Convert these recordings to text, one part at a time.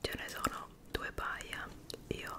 Ce ne sono due paia, io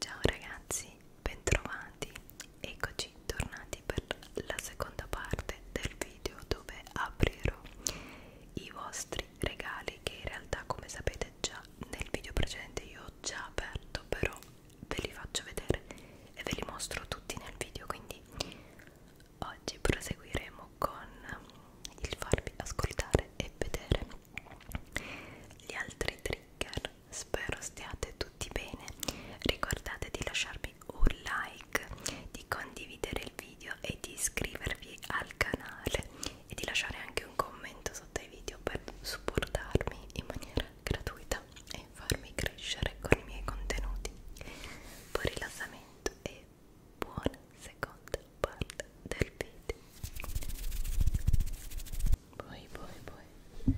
Ciao ragazzi, bentrovati, eccoci tornati per la seconda parte del video dove aprirò i vostri regali che in realtà come sapete già nel video precedente io ho già aperto però ve li faccio vedere e ve li mostro tutti nel video quindi oggi proseguiremo con il farvi ascoltare e vedere gli altri trigger spero stiate tutti bene ricordate di lasciarmi un like di condividere il video e di iscrivervi al canale e di lasciare anche un commento sotto ai video per supportarmi in maniera gratuita e farmi crescere con i miei contenuti. Buon rilassamento e buona seconda parte del video. Poi, poi, poi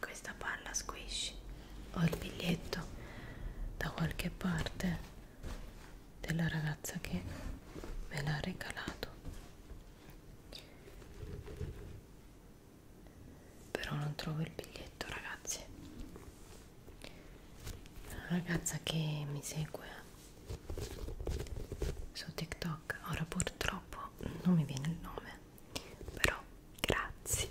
questa palla squishy ho il biglietto da qualche parte della ragazza che me l'ha regalato però non trovo il biglietto ragazzi la ragazza che mi segue su TikTok ora purtroppo non mi viene il nome però grazie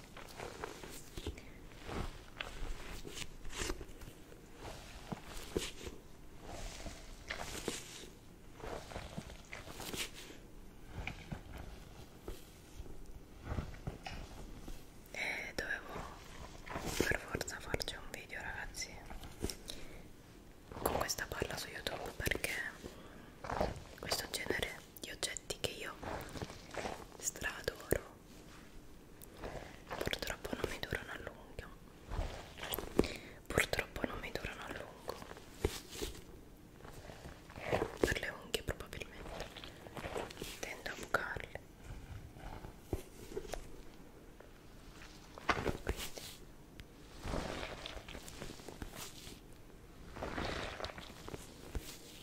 e eh, dovevo per forza farci un video ragazzi con questa palla su youtube perché questo genere di oggetti che io stradoro purtroppo non mi durano a lungo purtroppo non mi durano a lungo per le unghie probabilmente tendo a bucarle quindi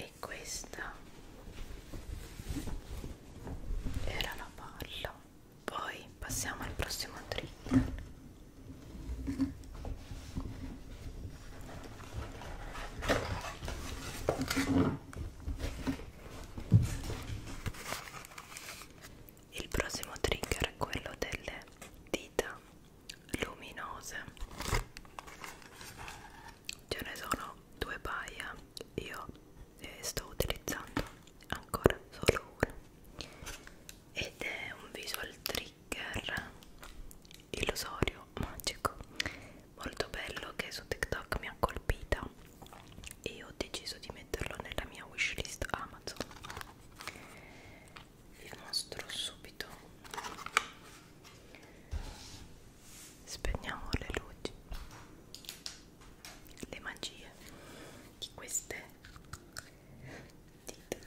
e questa era la palla poi passiamo al prossimo trigger il prossimo trigger è quello delle dita luminose ce ne sono due paia io ne eh, sto utilizzando ancora solo uno ed è un visual trigger illusorio magico molto bello che su TikTok mi ha colpita e ho deciso di metterlo nella mia wishlist Amazon vi mostro subito spegniamo le luci le magie di queste dita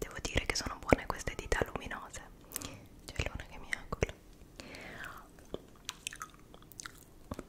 Devo dire che sono buone queste dita luminose. C'è l'una che mi ha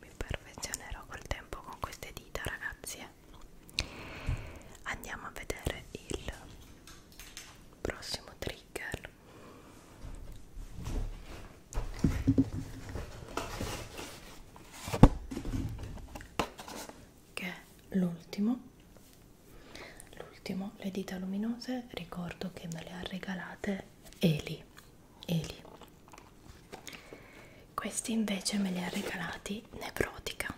mi perfezionerò col tempo con queste dita ragazzi eh. andiamo a vedere il prossimo trigger che è l'ultimo l'ultimo le dita luminose ricordo che me le ha regalate Eli Eli questi invece me li ha regalati Nevrotica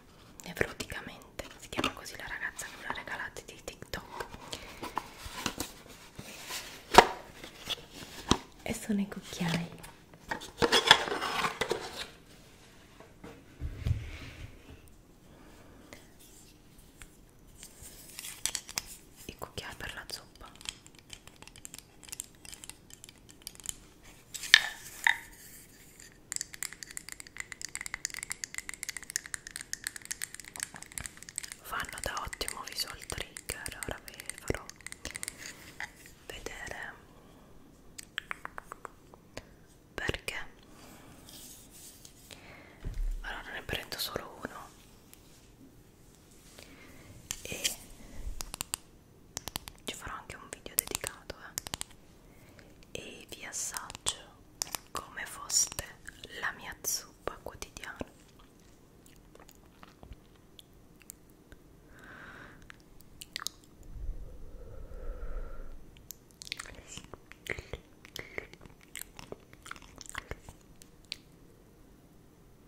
Nevroticamente si chiama così la ragazza che me l'ha regalati di TikTok e sono i cucchiai i cucchiai per la zuppa Fanno da ottimo visual trigger, ora vi farò vedere perché. Allora ne prendo solo uno e ci farò anche un video dedicato eh. e vi assaggio come foste la mia zuppa quotidiana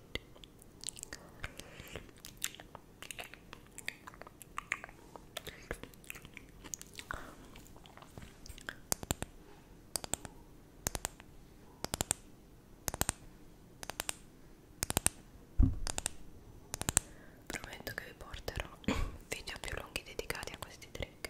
avanti prometto che vi porterò video più lunghi dedicati a questi trick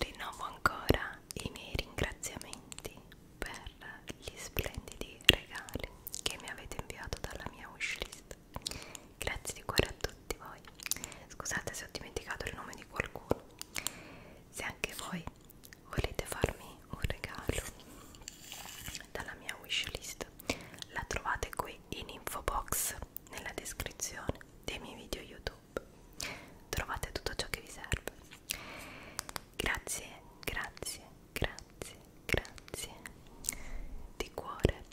Rinnovo ancora i miei ringraziamenti per gli splendidi regali che mi avete inviato dalla mia wishlist. Grazie di cuore a tutti voi. Scusate se ho dimenticato il nome di qualcuno. Se anche voi volete farmi un regalo dalla mia wishlist, la trovate qui in info box nella descrizione dei miei video YouTube shop trovate tutto ciò che vi serve grazie grazie grazie grazie di cuore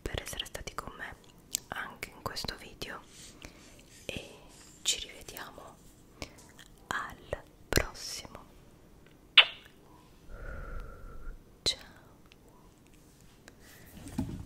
per essere stati con me anche in questo video e ci rivediamo al prossimo ciao